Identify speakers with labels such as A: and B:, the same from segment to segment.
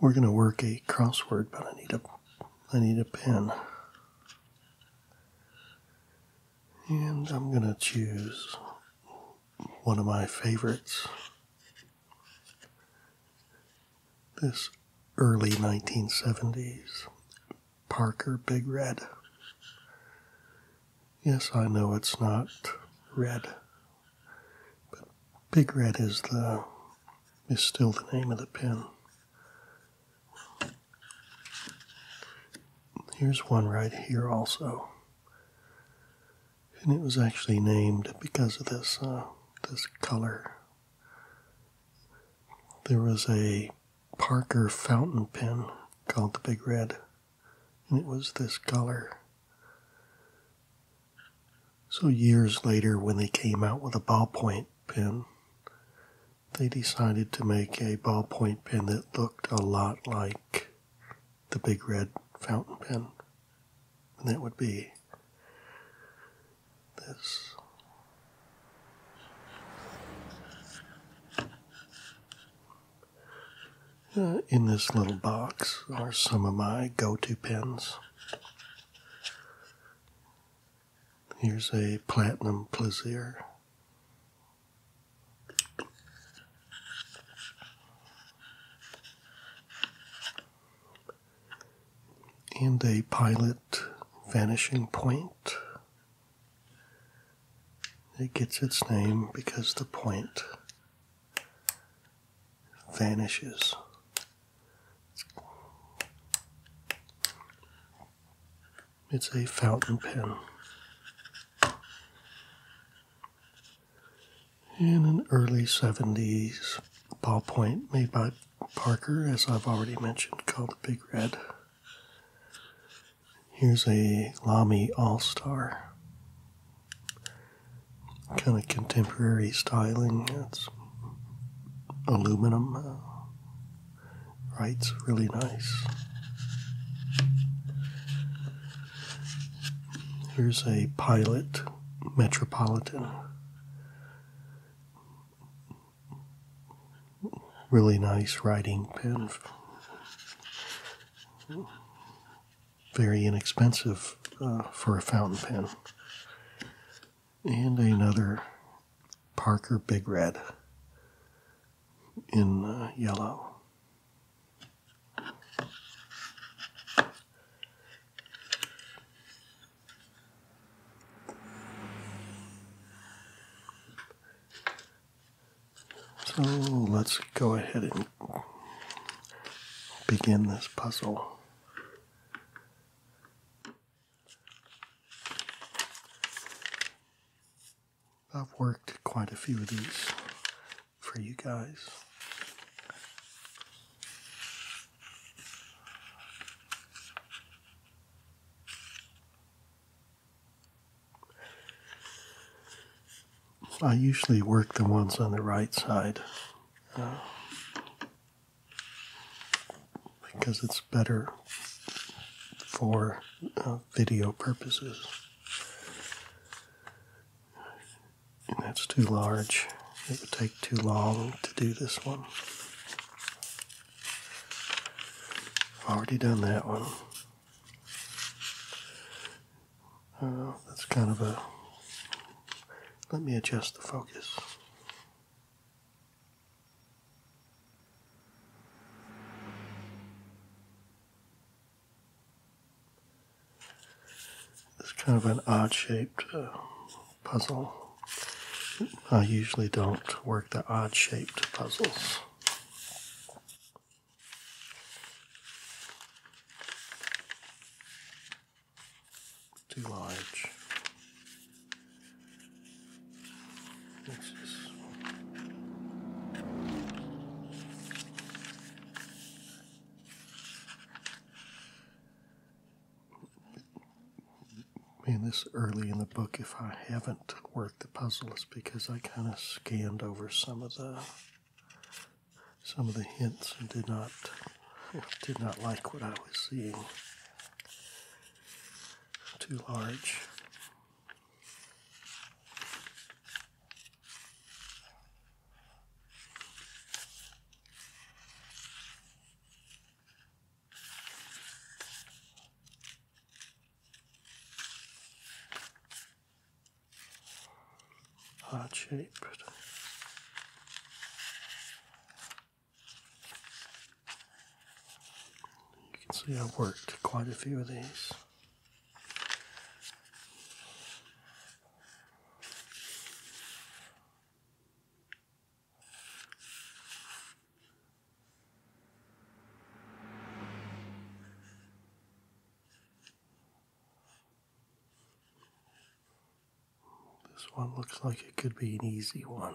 A: We're going to work a crossword, but I need a I need a pen. And I'm going to choose one of my favorites. This early 1970s Parker Big Red. Yes, I know it's not red but Big Red is the is still the name of the pen. Here's one right here also. And it was actually named because of this uh, this color. There was a Parker fountain pen called the Big Red, and it was this color. So, years later, when they came out with a ballpoint pen, they decided to make a ballpoint pen that looked a lot like the big red fountain pen. And that would be this. Uh, in this little box are some of my go to pens. Here's a Platinum Plaisir. And a Pilot Vanishing Point. It gets its name because the point vanishes. It's a fountain pen. In an early 70s ballpoint made by Parker, as I've already mentioned, called the Big Red. Here's a Lamy All Star kind of contemporary styling. It's aluminum, uh, right? It's really nice. Here's a Pilot Metropolitan. Really nice writing pen very inexpensive uh, for a fountain pen. And another Parker Big Red in uh, yellow. So let's go ahead and begin this puzzle. I've worked quite a few of these for you guys. I usually work the ones on the right side because it's better for uh, video purposes. And that's too large. It would take too long to do this one. I've already done that one. Uh, that's kind of a. Let me adjust the focus. It's kind of an odd shaped uh, puzzle. I usually don't work the odd shaped puzzles too large. This is being this early in the book, if I haven't worked the puzzles, because I kind of scanned over some of the some of the hints did not did not like what I was seeing. Too large heart shaped. You can see I have worked quite a few of these. This one looks like it could be an easy one.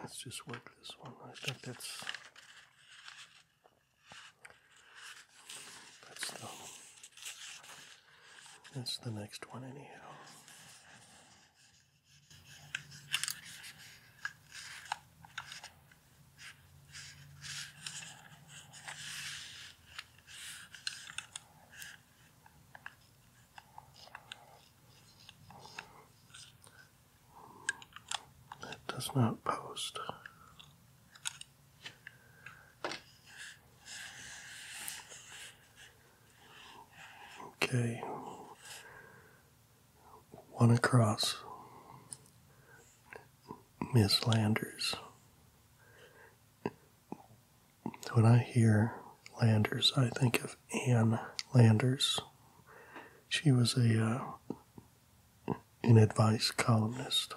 A: Let's just work this one. I think that's that's the that's the next one anyhow. That does not post. Okay, one across Miss Landers. When I hear Landers, I think of Anne Landers. She was a in uh, advice columnist.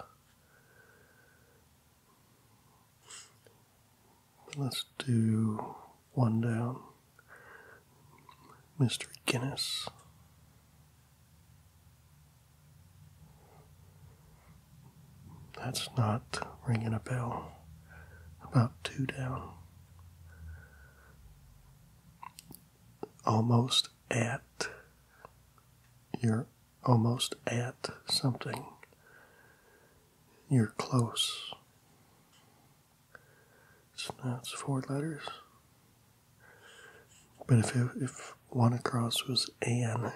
A: Let's do one down. Mr. Guinness. That's not ringing a bell. About two down. Almost at. You're almost at something. You're close. So now it's four letters. But if, if one across was an,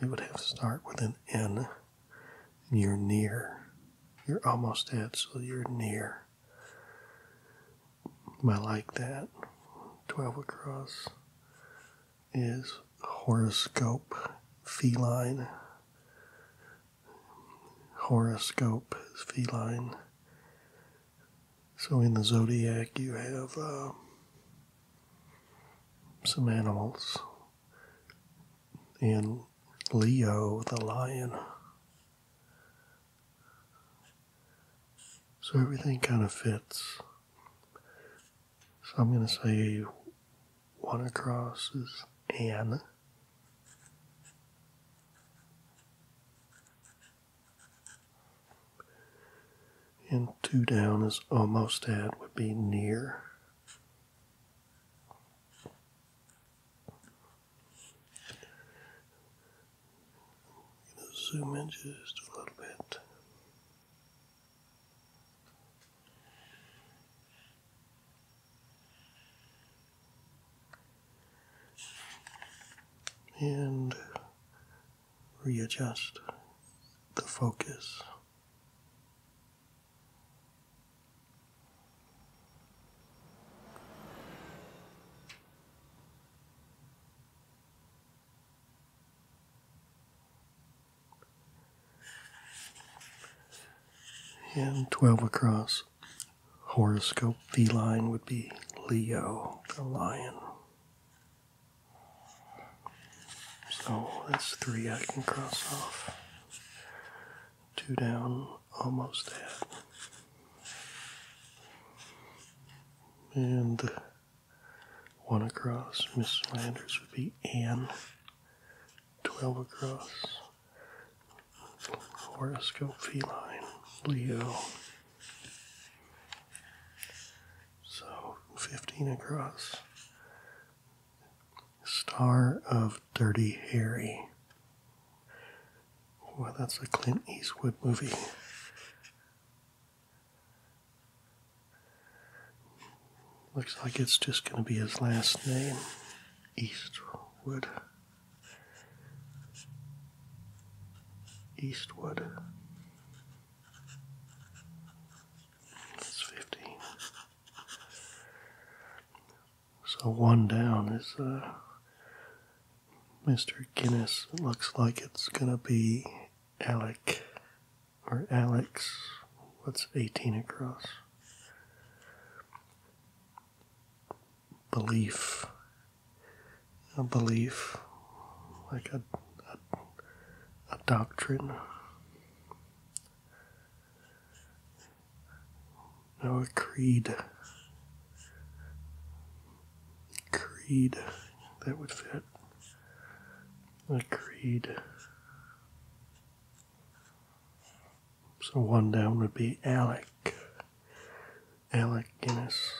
A: it would have to start with an N. you're near. You're almost at, so you're near. I like that. 12 across is horoscope feline horoscope is feline. So in the zodiac, you have uh, some animals. and Leo, the lion. So everything kind of fits. So I'm going to say one across is Anna. And two down is almost at, would be near. zoom in just a little bit and readjust the focus. And 12 across horoscope feline would be Leo, the lion. So that's three I can cross off. Two down, almost there. And one across, Miss Landers would be Anne. Twelve across. Horoscope feline, Leo. So 15 across. Star of Dirty Harry. Well, that's a Clint Eastwood movie. Looks like it's just going to be his last name Eastwood eastward. That's 15. So one down is uh, Mr. Guinness. It looks like it's going to be Alec or Alex. What's 18 across? belief, a belief, like a, a, doctrine. No, a creed. Creed that would fit. A creed. So one down would be Alec. Alec Guinness.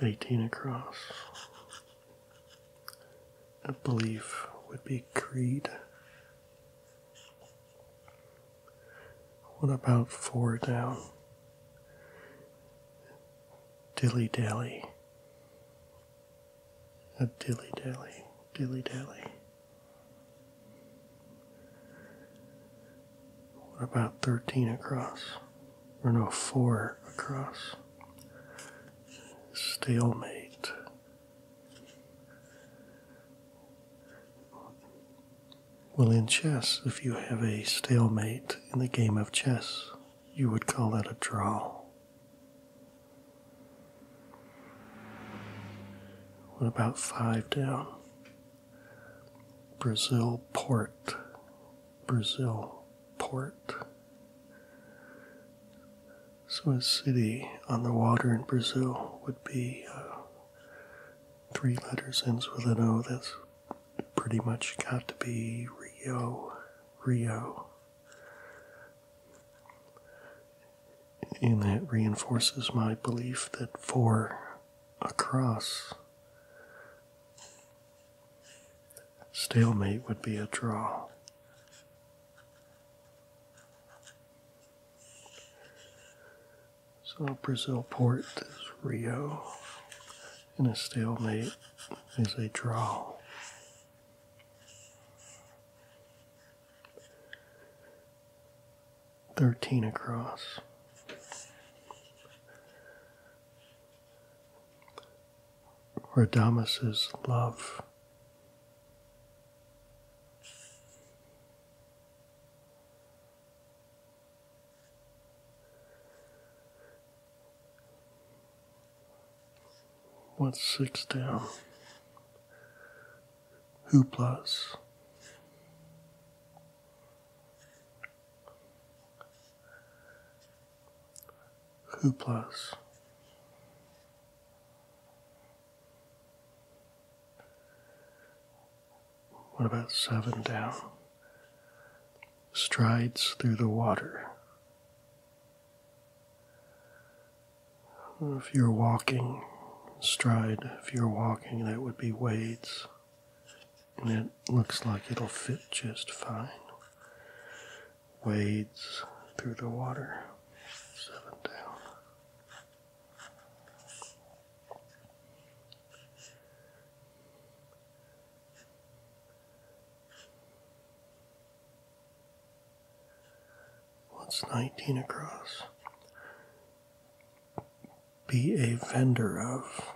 A: 18 across. I believe would be Creed. What about four down? Dilly dally. A dilly dally. Dilly dally we about 13 across, or no, 4 across. Stalemate. Well, in chess, if you have a stalemate in the game of chess, you would call that a draw. What about five down? Brazil port. Brazil port. So a city on the water in Brazil would be uh, three letters ends with an O. That's pretty much got to be Rio. Rio. And that reinforces my belief that for a cross, stalemate would be a draw. So Brazil port is Rio, and a stalemate is a draw. 13 across. Radamas's love. What's six down? hooplas. Hooplas. What about seven down? Strides through the water if you're walking, stride, if you're walking, that would be Wade's. And it looks like it'll fit just fine. Wades through the water, seven down. What's 19 across? Be a vendor of.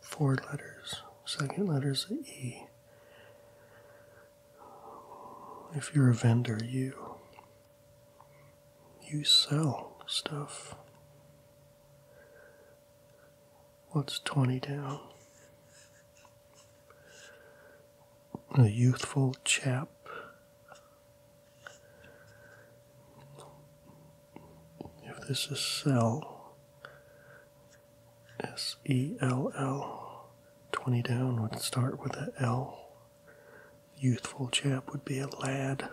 A: Four letters. Second letter's E. If you're a vendor, you you sell stuff. What's 20 down? a youthful chap. If this is sell, S E L L, 20 down would start with a L. Youthful chap would be a lad.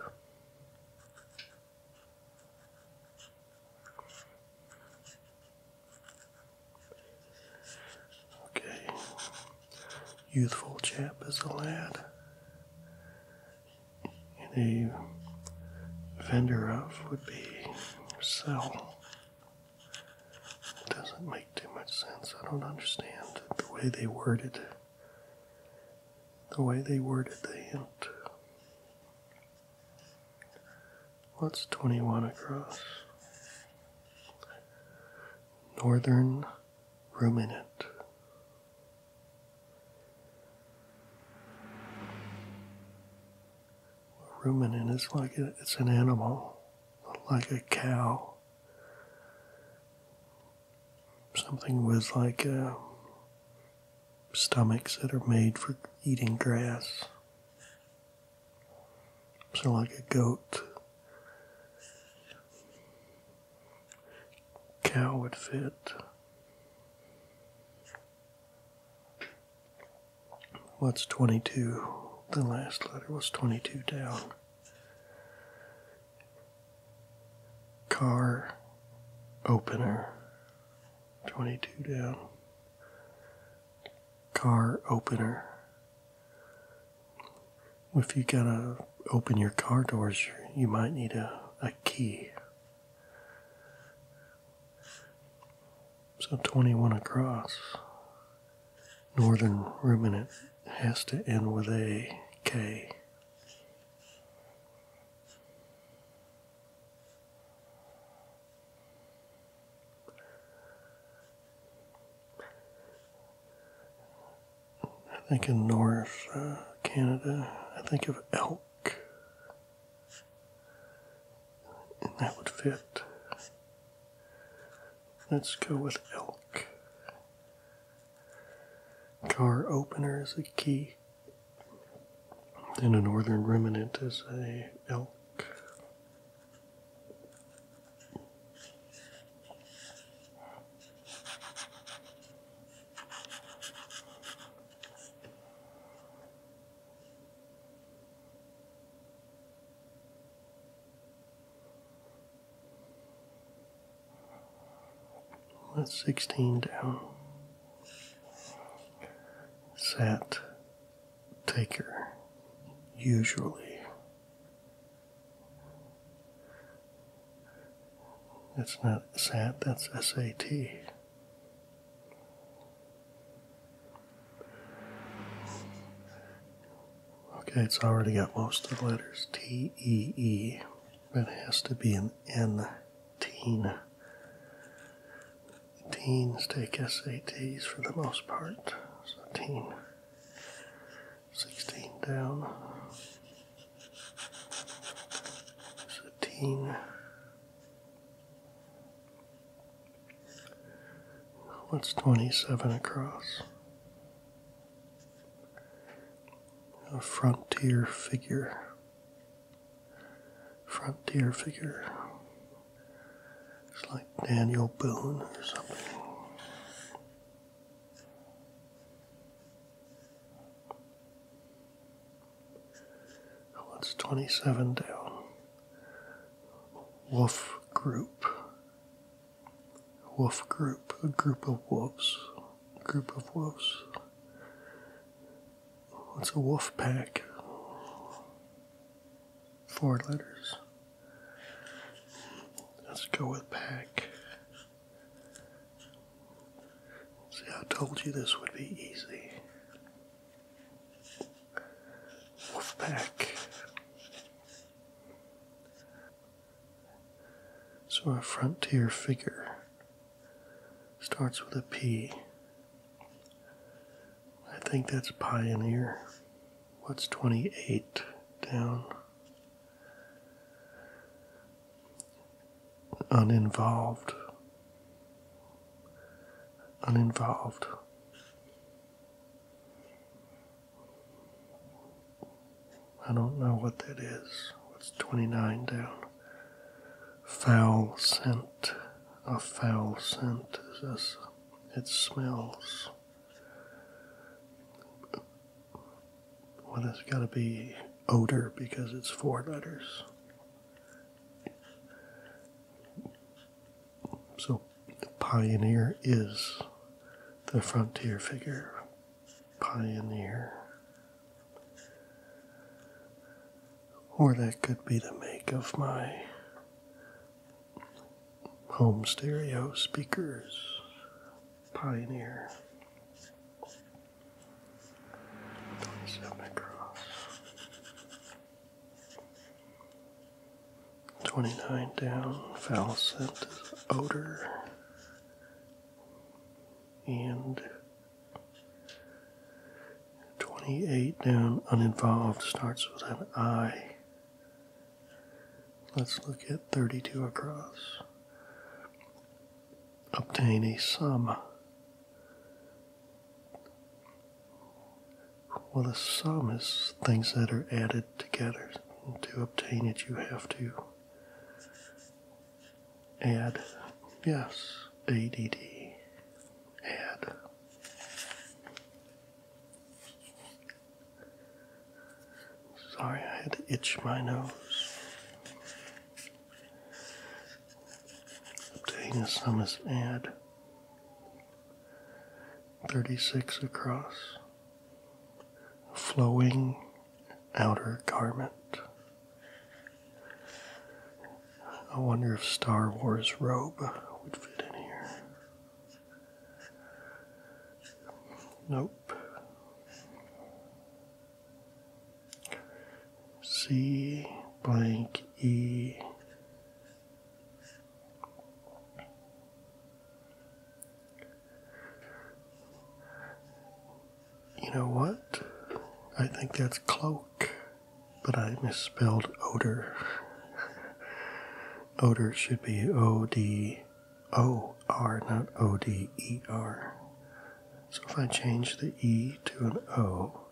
A: Okay. Youthful chap is a lad. And a vendor of would be sell. doesn't make too much sense. I don't understand the way they worded the way they worded the hint. What's 21 across? Northern Ruminant. ruminant is like it's an animal, like a cow. Something with like um, stomachs that are made for eating grass. So like a goat cow would fit. What's 22? The last letter was 22 down. Car opener, 22 down car opener. If you gotta open your car doors, you might need a, a key. So 21 across. Northern ruminant has to end with a K. I think in North uh, Canada, I think of elk, that would fit. Let's go with elk. Car opener is a key. And a northern remnant is a elk. That's 16 down. Set taker, usually. That's not SAT, that's SAT. Okay, it's already got most of the letters T E E. That has to be an N teen. Teens take SATs for the most part. So 16 down. 17. What's 27 across? A frontier figure. Frontier figure. It's like Daniel Boone or something. What's oh, 27 down? Wolf group. Wolf group. A group of wolves. group of wolves. What's a wolf pack? four letters. Let's go with pack. See, I told you this would be easy. Wolfpack. So a frontier figure starts with a P. I think that's Pioneer. What's 28 down? Uninvolved. Uninvolved. I don't know what that is. What's 29 down? Foul scent. A foul scent is this it smells well, it's got to be odor because it's four letters. So, pioneer is the frontier figure. Pioneer. Or that could be the make of my home stereo speakers, Pioneer. Twenty-seven across. Twenty-nine down. Foul scent is odor. And twenty-eight down uninvolved starts with an I. Let's look at 32 across. Obtain a sum. Well, the sum is things that are added together. to obtain it, you have to add, yes, ADD, add. Sorry, I had to itch my nose. Obtain a Summis ad. 36 across. Flowing outer garment. I wonder if Star Wars robe would fit in here. Nope. C blank E. You know what? I think that's cloak, but I misspelled odor. odor should be O D O R, not O D E R. So if I change the E to an O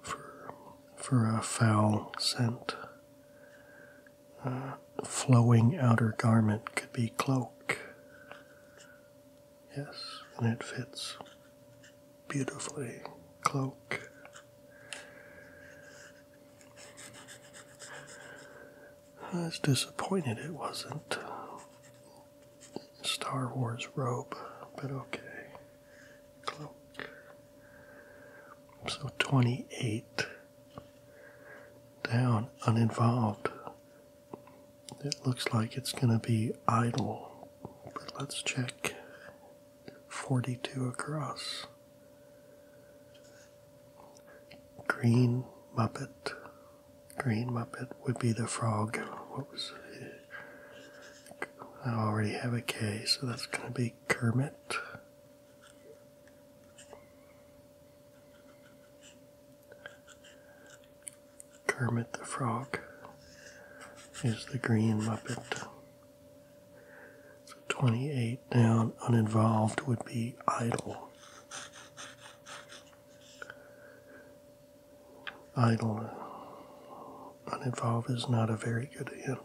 A: for, for a foul scent, uh, flowing outer garment could be cloak. Yes, and it fits beautifully. Cloak. I was disappointed it wasn't Star Wars robe, but okay. Cloak. So 28 down, uninvolved. It looks like it's going to be idle, but let's check 42 across. Green Muppet. Green Muppet would be the frog. What was I already have a K, so that's going to be Kermit. Kermit the Frog is the Green Muppet. So 28 down, uninvolved would be idle. Idle, uninvolved is not a very good hint.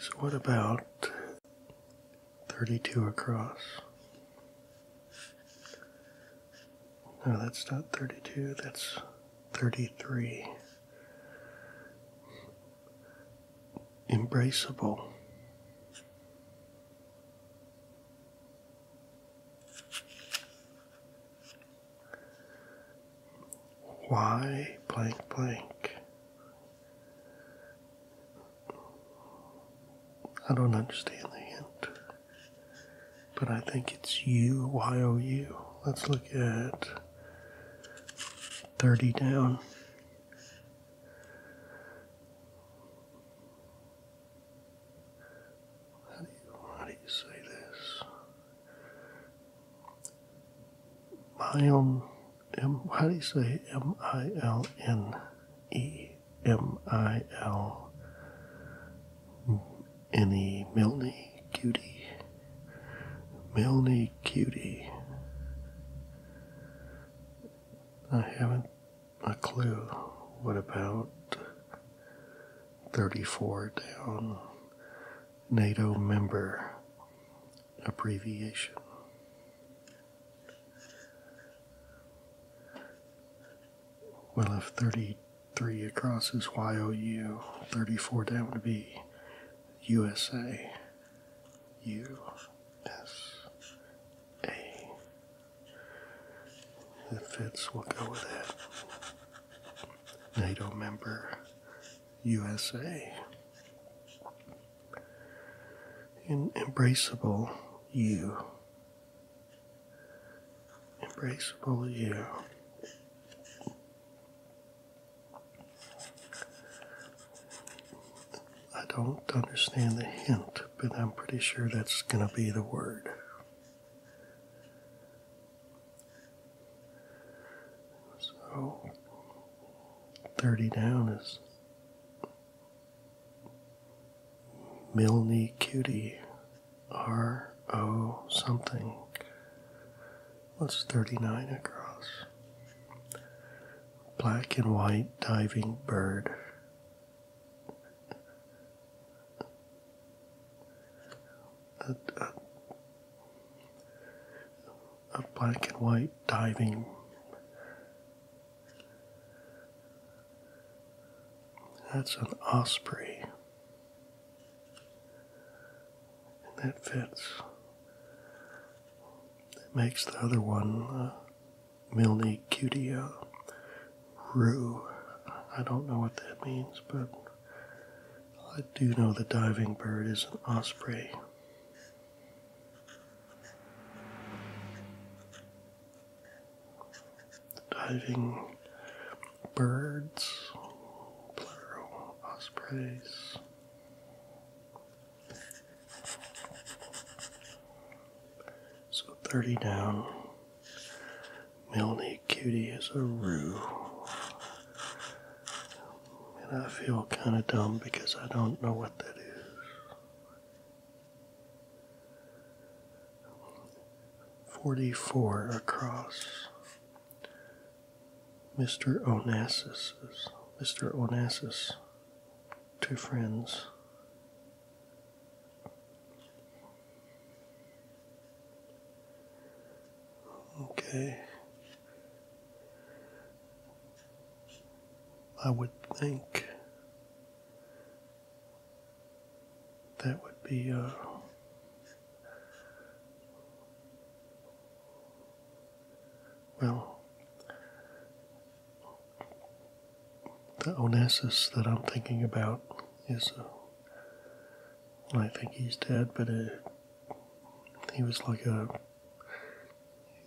A: So, what about 32 across? No, that's not 32, that's 33. Embraceable. Why blank blank? I don't understand the hint but I think it's U Y O U. Let's look at 30 down. How do you, say this? Milne, M, how do you say M I L N E M I L any Milne cutie. Milne cutie. I haven't a clue what about 34 down NATO member abbreviation. Well, if 30 Three across is YOU. 34 down would be USA. U. S. A. That fits, we'll go with that. NATO member, USA. embraceable, U embraceable you. I don't understand the hint, but I'm pretty sure that's going to be the word. So, 30 down is Milne Cutie R O something. What's 39 across? Black and white diving bird. A, a, black and white diving that's an osprey and that fits. It makes the other one, uh, Milne Cutia Rue. I don't know what that means, but I do know the diving bird is an osprey diving birds, plural ospreys. So 30 down. Milly Cutie is a roo. And I feel kind of dumb because I don't know what that is. 44 across. Mr. Onassis, Mr. Onassis, two friends. Okay. I would think that would be uh, well the onassis that i'm thinking about is uh, i think he's dead but uh, he was like a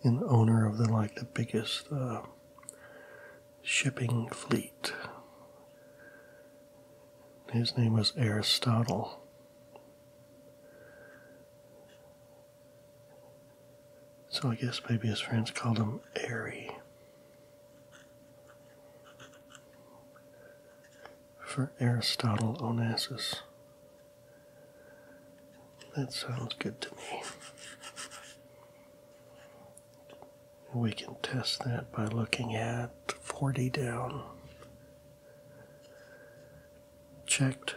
A: an owner of the like the biggest uh, shipping fleet. His name was Aristotle. So I guess maybe his friends called him Airy. For Aristotle Onassis. That sounds good to me. We can test that by looking at 40 down. Checked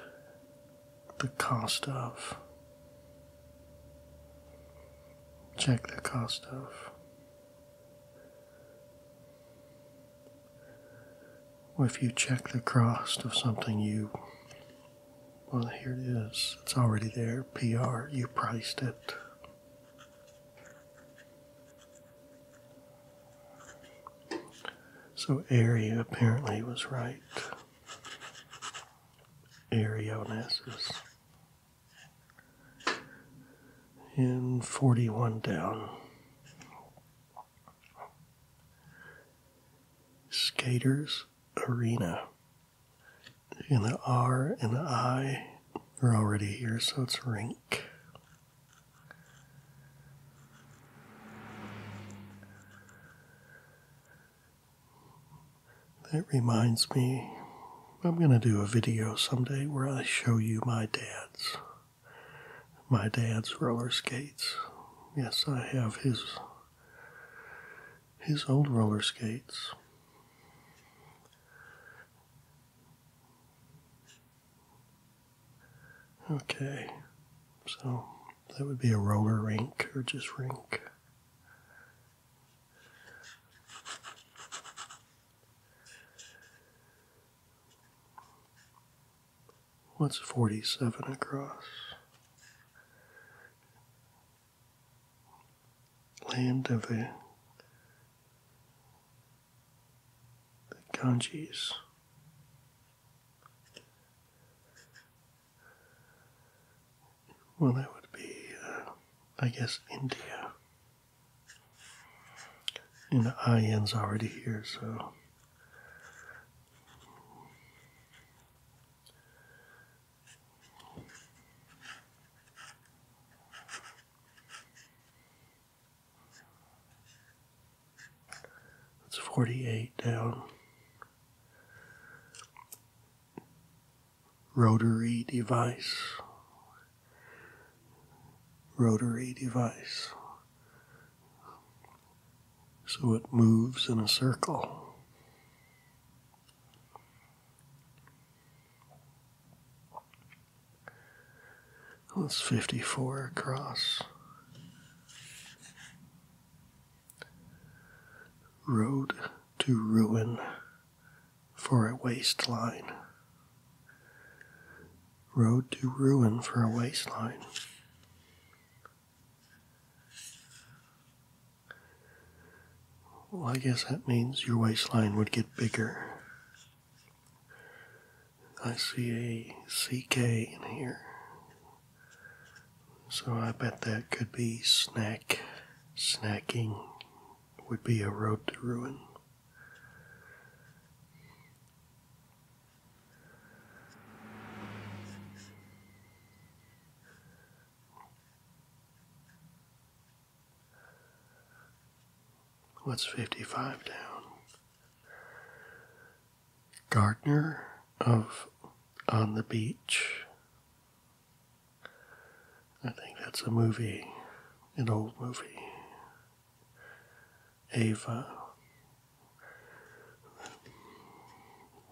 A: the cost of. Check the cost of. If you check the cost of something, you. Well, here it is. It's already there. PR. You priced it. So area apparently was right. Arionesis. in 41 down. Skaters Arena and the R and the I are already here, so it's rink. That reminds me, I'm going to do a video someday where I show you my dad's, my dad's roller skates. Yes, I have his, his old roller skates. Okay, so that would be a roller rink or just rink. What's 47 across? land of the, Ganges. Well, that would be, uh, I guess, India. And the already here, so. It's 48 down. Rotary device. Rotary device. So it moves in a circle. That's 54 across. Road to ruin for a waistline. Road to ruin for a waistline. Well, I guess that means your waistline would get bigger. I see a CK in here. So I bet that could be snack. Snacking would be a road to ruin. What's 55 down? Gardner of On the Beach. I think that's a movie, an old movie. Ava.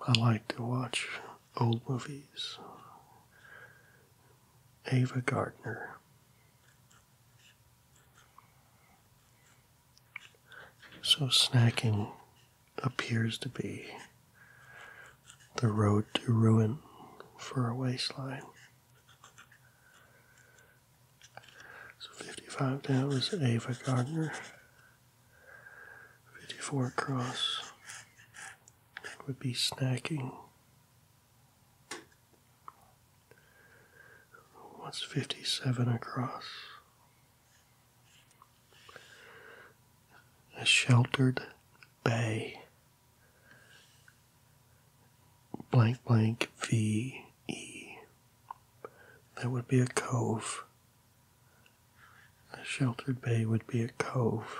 A: I like to watch old movies. Ava Gardner. So, snacking appears to be the road to ruin for a waistline. So, 55 down is Ava Gardner, 54 across would be snacking. What's 57 across? A sheltered bay. Blank blank V E. That would be a cove. A sheltered bay would be a cove.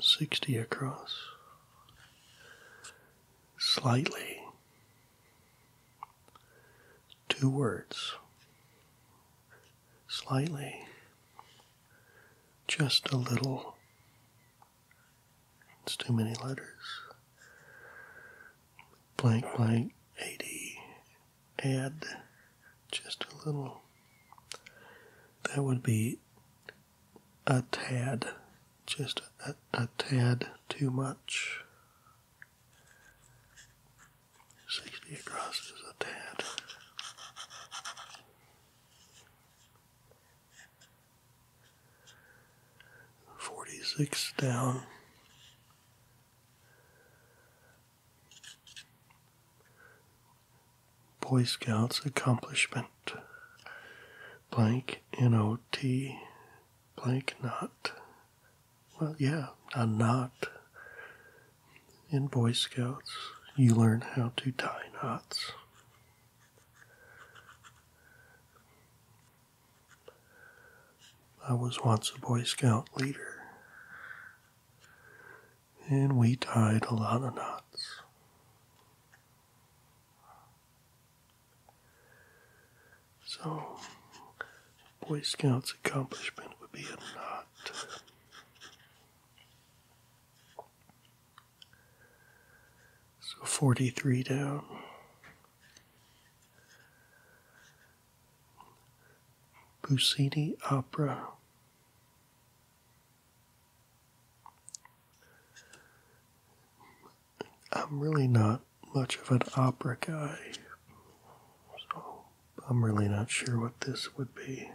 A: Sixty across, slightly, two words, slightly, just a little, it's too many letters. Blank, blank, 80. Add just a little. That would be a tad, just a, tad too much. 60 across is a tad. 46 down. Boy Scouts accomplishment. Blank N O T blank knot. Well, yeah, a knot. In Boy Scouts, you learn how to tie knots. I was once a Boy Scout leader, and we tied a lot of knots. So, Boy Scout's accomplishment would be a knot. So 43 down. Puccini Opera. I'm really not much of an opera guy, so I'm really not sure what this would be.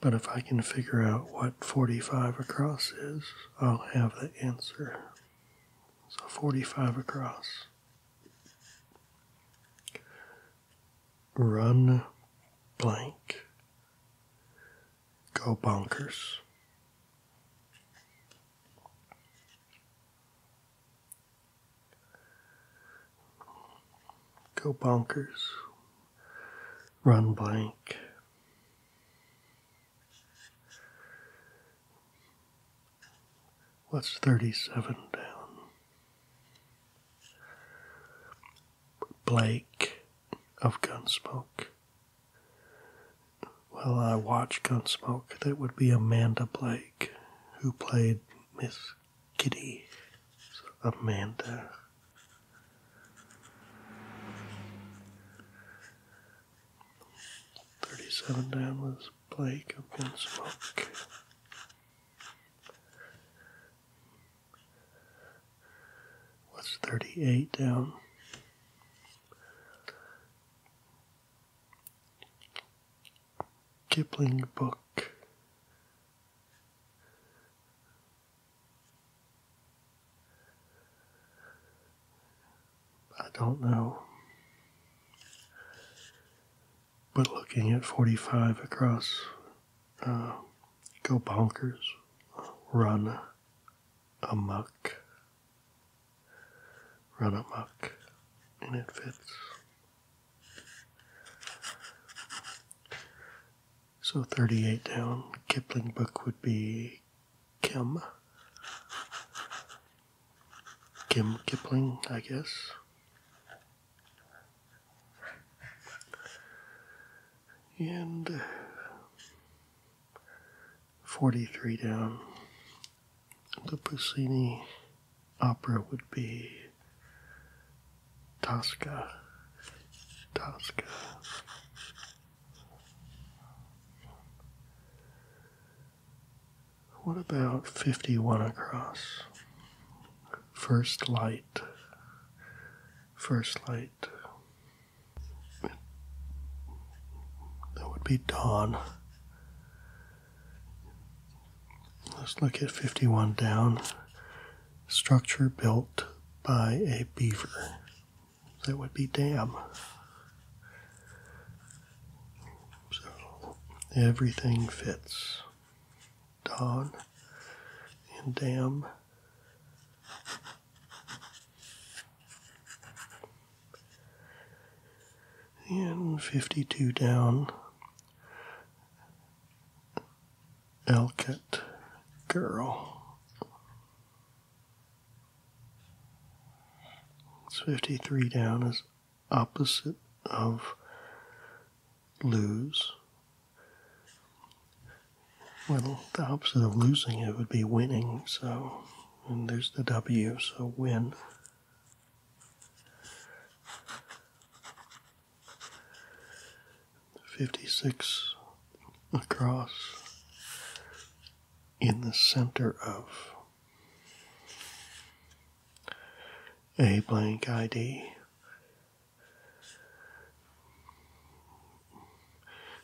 A: But if I can figure out what 45 across is, I'll have the answer. So 45 across. Run blank. Go bonkers. Go bonkers. Run blank. What's 37 down? Blake of Gunsmoke. Well, I watch Gunsmoke. That would be Amanda Blake, who played Miss Kitty. Amanda Thirty-seven down was Blake of Gunsmoke. What's thirty-eight down? Kipling book I don't know. But looking at 45 across, uh, go bonkers, run amuck, run amuck, and it fits. So 38 down, Kipling book would be Kim. Kim Kipling, I guess. And 43 down, the Puccini opera would be Tosca. Tosca. What about 51 across? First light. First light. That would be dawn. Let's look at 51 down. Structure built by a beaver that would be damn. So everything fits. Don and damn. And 52 down. Elkett girl. 53 down is opposite of lose. Well, the opposite of losing it would be winning, so, and there's the W, so win. 56 across in the center of a blank ID.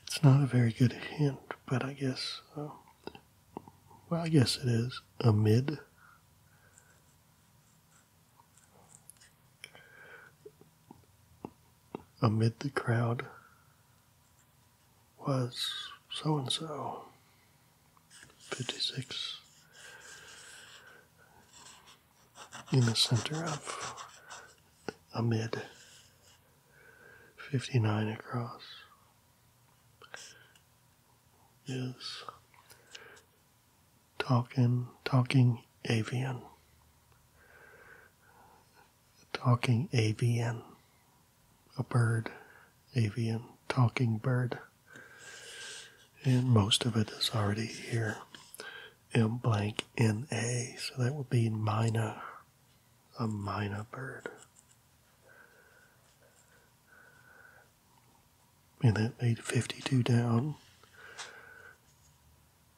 A: It's not a very good hint, but I guess, uh, I guess it is amid amid the crowd was so and so. 56 in the center of amid 59 across is talking talking avian talking avian, a bird, avian, talking bird. And most of it is already here. M blank N A, so that would be mina, a mina bird. And that made 52 down.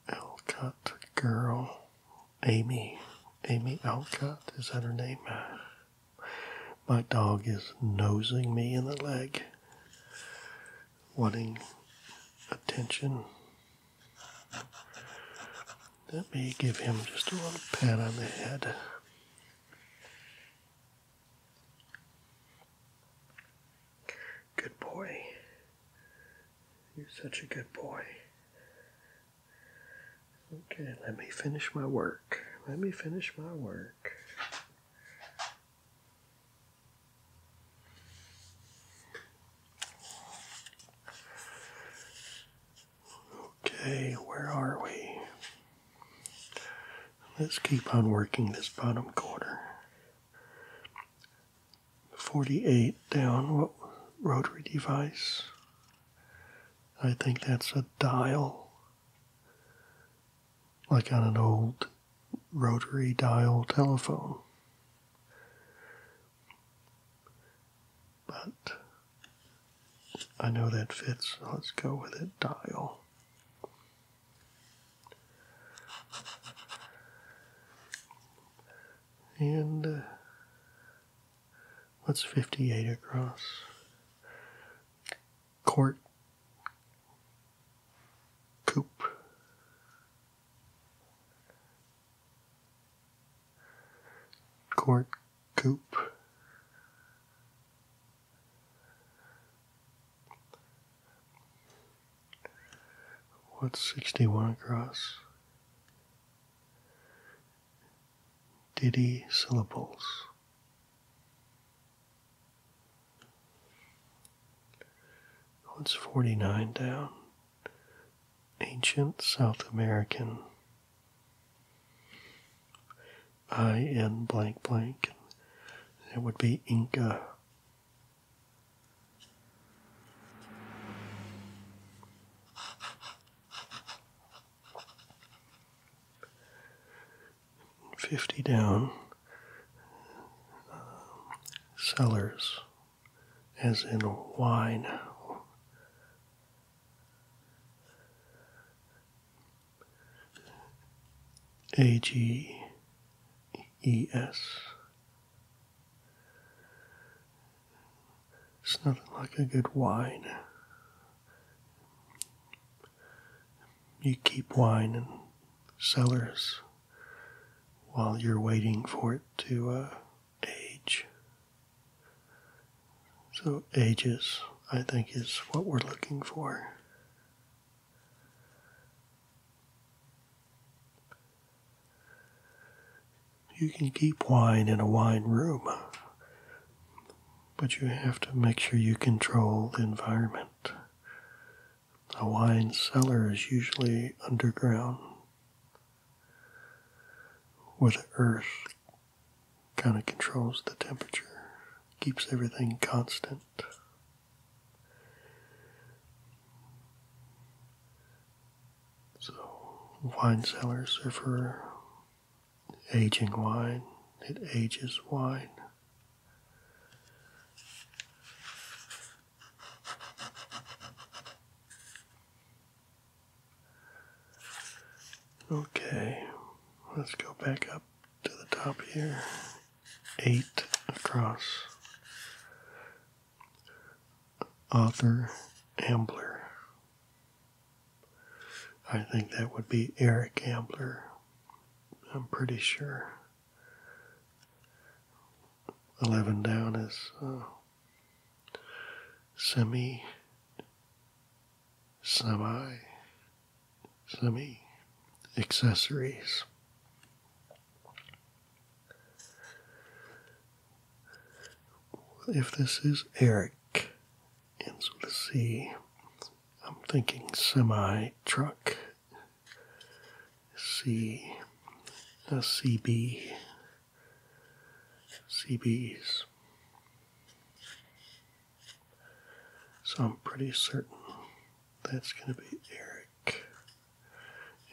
A: Alcott girl, Amy. Amy Alcott, is that her name? My dog is nosing me in the leg, wanting attention. Let me give him just a little pat on the head. Good boy. You're such a good boy. Okay, let me finish my work. Let me finish my work. Okay, where are we? Let's keep on working this bottom quarter. 48 down what rotary device. I think that's a dial, like on an old rotary dial telephone. But I know that fits, let's go with it dial and uh, what's 58 across? Court, coop. Court, coop. What's 61 across? Ditty syllables. What's 49 down? Ancient South American. I N blank blank. It would be Inca. Fifty down. cellars, as in wine. A G E S it's nothing like a good wine. You keep wine in cellars while you're waiting for it to uh, age. So, ages, I think, is what we're looking for. You can keep wine in a wine room, but you have to make sure you control the environment. A wine cellar is usually underground where the earth kind of controls the temperature, keeps everything constant. So, wine cellars are for aging wine, it ages wine. Okay, let's go back up to the top here. Eight across Author Ambler. I think that would be Eric Ambler. I'm pretty sure. 11 down is uh, semi, semi, semi accessories. If this is Eric, ends so see, i C, I'm thinking semi truck. C, a uh, CB, CBs. So I'm pretty certain that's going to be Eric,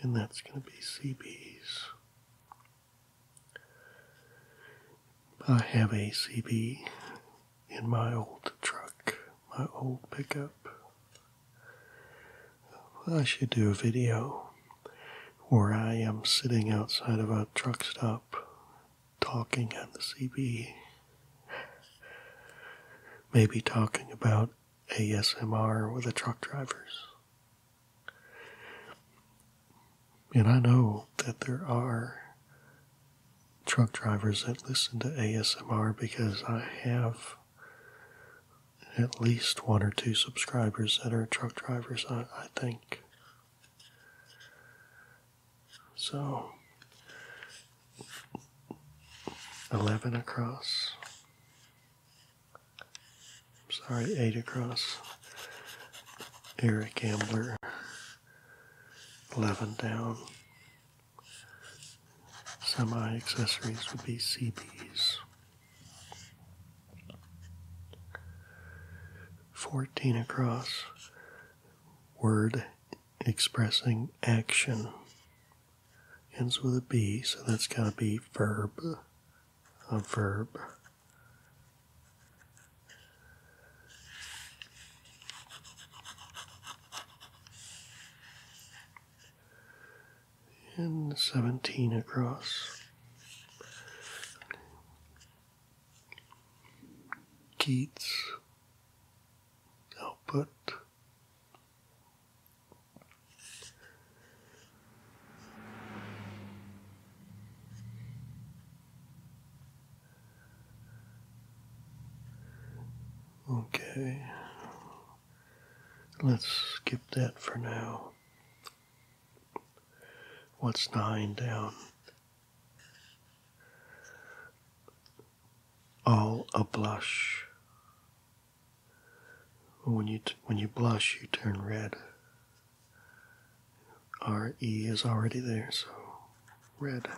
A: and that's going to be CBs. I have a CB in my old truck, my old pickup. I should do a video where I am sitting outside of a truck stop talking on the CB. Maybe talking about ASMR with the truck drivers. And I know that there are truck drivers that listen to ASMR because I have at least one or two subscribers that are truck drivers, I, think. So, 11 across. Sorry, eight across. Eric Ambler, 11 down. Semi accessories would be CBs. 14 across. Word expressing action. Ends with a B, so that's got to be verb a verb. And 17 across. Keats output Okay, let's skip that for now. What's dying down? All a blush. When you, when you blush, you turn red. RE is already there, so red.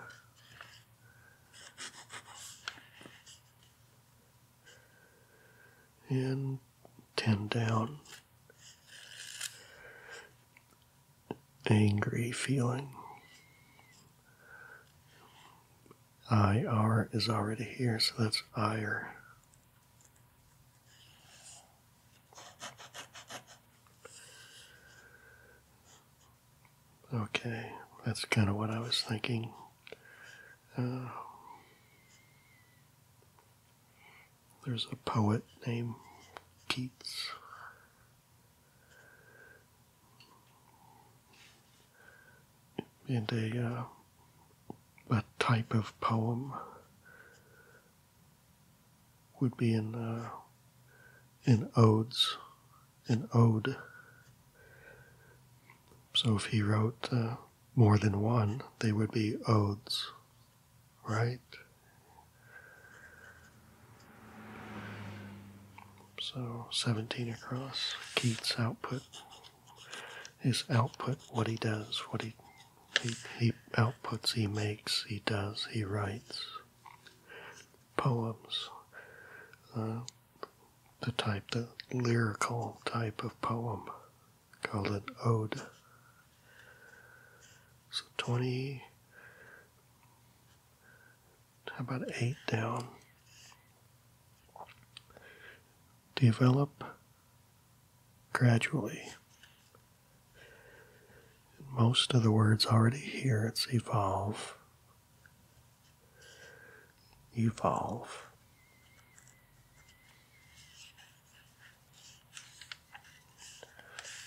A: And 10 down. Angry feeling. IR is already here, so that's ire. Okay, that's kind of what I was thinking. Um, there's a poet named Keats. And a uh, that type of poem would be in uh, in odes, an ode. So if he wrote uh, more than one, they would be odes, right? So 17 across, Keats output his output, what he does, what he, he, he outputs, he makes, he does, he writes. Poems, uh, the type, the lyrical type of poem, called an ode. So 20, how about eight down? Develop gradually. most of the words already here, it's evolve, evolve.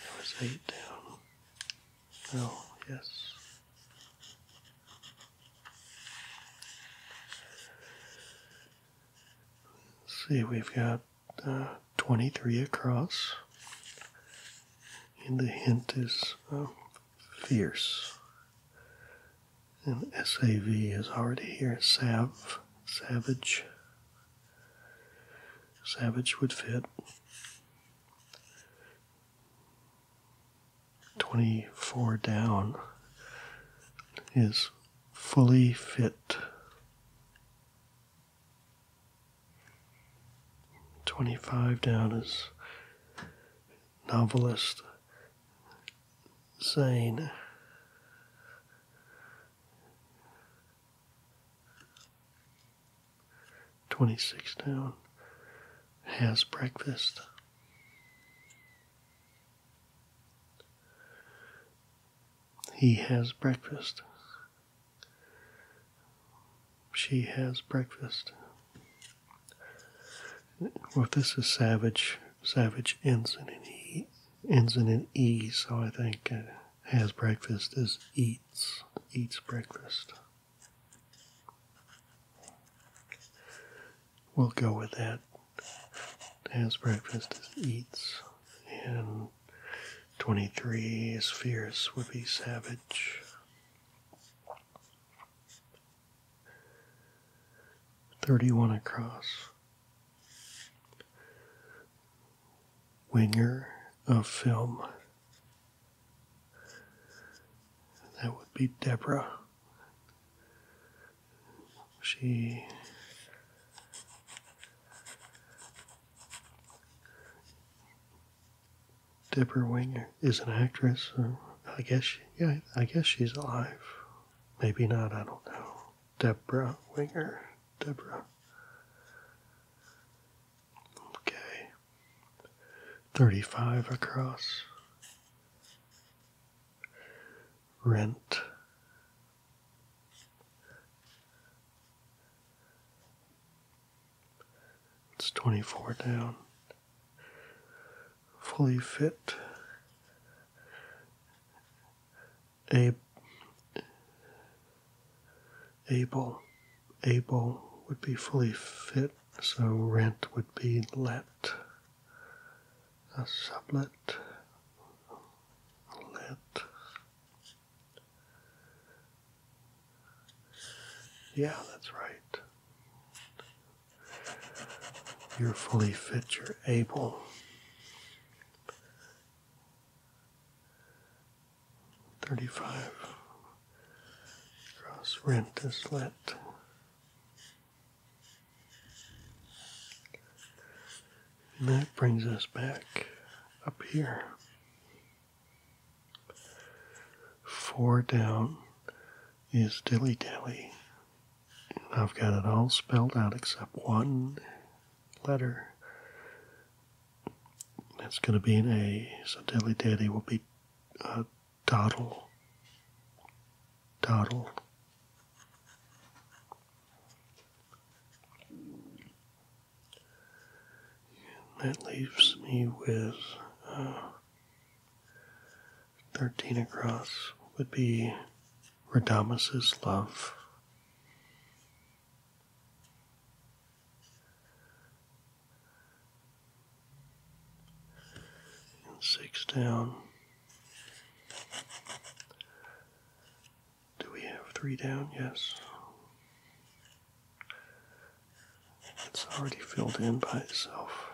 A: There was eight down. Oh, yes see, we've got uh, 23 across, and the hint is um, fierce. And SAV is already here. Sav, savage. Savage would fit. 24 down is fully fit. 25 down is novelist Zane. Twenty six down has breakfast. He has breakfast. She has breakfast. Well, this is Savage. Savage ends in an E. Ends in an E, so I think uh, has breakfast is eats. Eats breakfast we'll go with that as breakfast is eats, and 23 is fierce would savage. 31 across. Winger of film. That would be Deborah she Deborah Winger is an actress. I guess yeah, I guess she's alive. Maybe not. I don't know. Deborah Winger. Deborah. Okay. Thirty-five across. Rent. It's 24 down. Fully fit. Ab able. Able would be fully fit, so rent would be let a sublet lit. Yeah, that's right. You're fully fit, you're able. Thirty-five. Cross rent is lit. And that brings us back up here. Four down is dilly dally. I've got it all spelled out except one letter. It's going to be an A, so dilly Dilly will be uh, doddle. Doddle that leaves me with uh, 13 across would be Radamus's love. And six down do we have three down? Yes. It's already filled in by itself.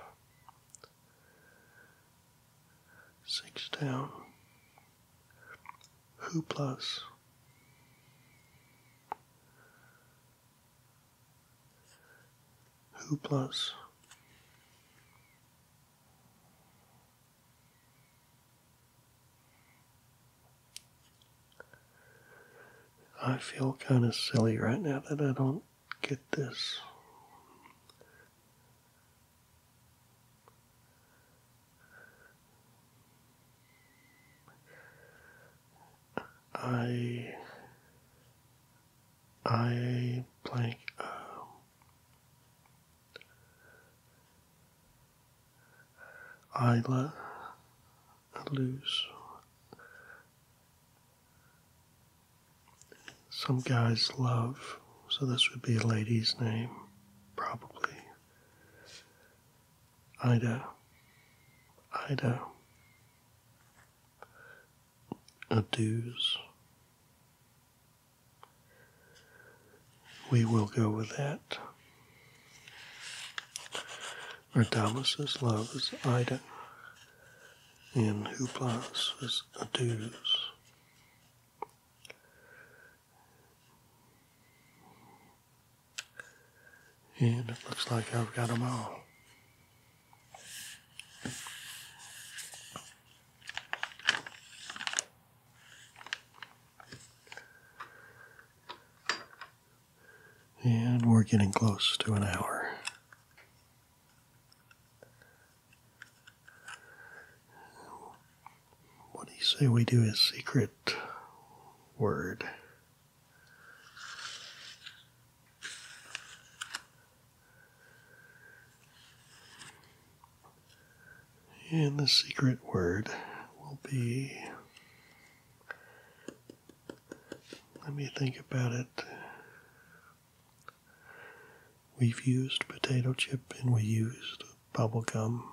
A: Six down. Who plus? Who plus? I feel kind of silly right now that I don't get this. I I blank um, Isla Luz. Some guys love, so this would be a lady's name, probably. Ida. Ida. Adues we will go with that. Ardamas's love is Ida, and who Huplas is Adus. And it looks like I've got them all. And we're getting close to an hour. What do you say we do a secret word? And the secret word will be. Let me think about it. We've used potato chip and we used bubble gum.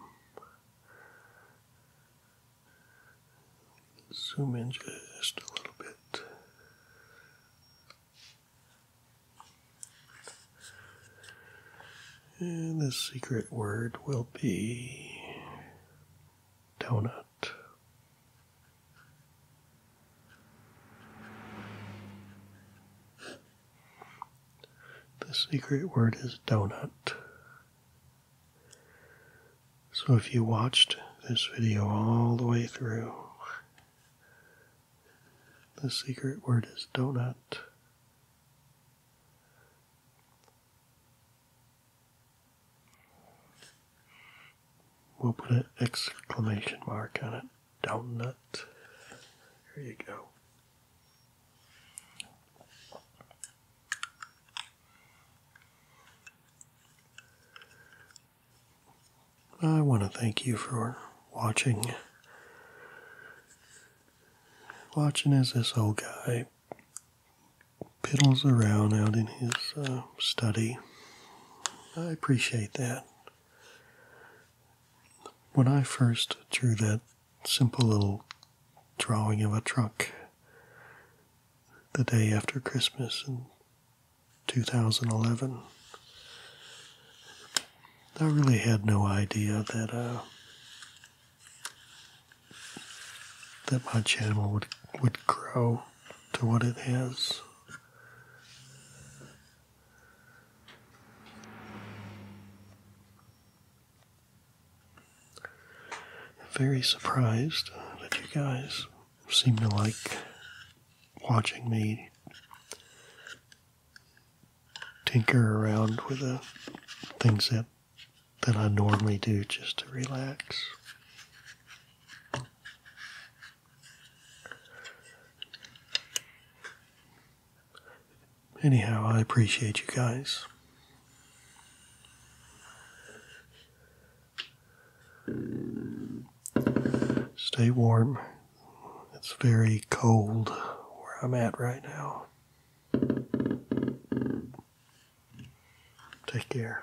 A: Zoom in just a little bit. And the secret word will be donut. The secret word is donut. So if you watched this video all the way through, the secret word is donut. We'll put an exclamation mark on it. Donut. There you go. I want to thank you for watching watching as this old guy piddles around out in his uh, study. I appreciate that. When I first drew that simple little drawing of a truck the day after Christmas in 2011, I really had no idea that uh, that my channel would would grow to what it has. Very surprised that you guys seem to like watching me tinker around with the things that that I normally do just to relax. Anyhow, I appreciate you guys. Stay warm. It's very cold where I'm at right now. Take care.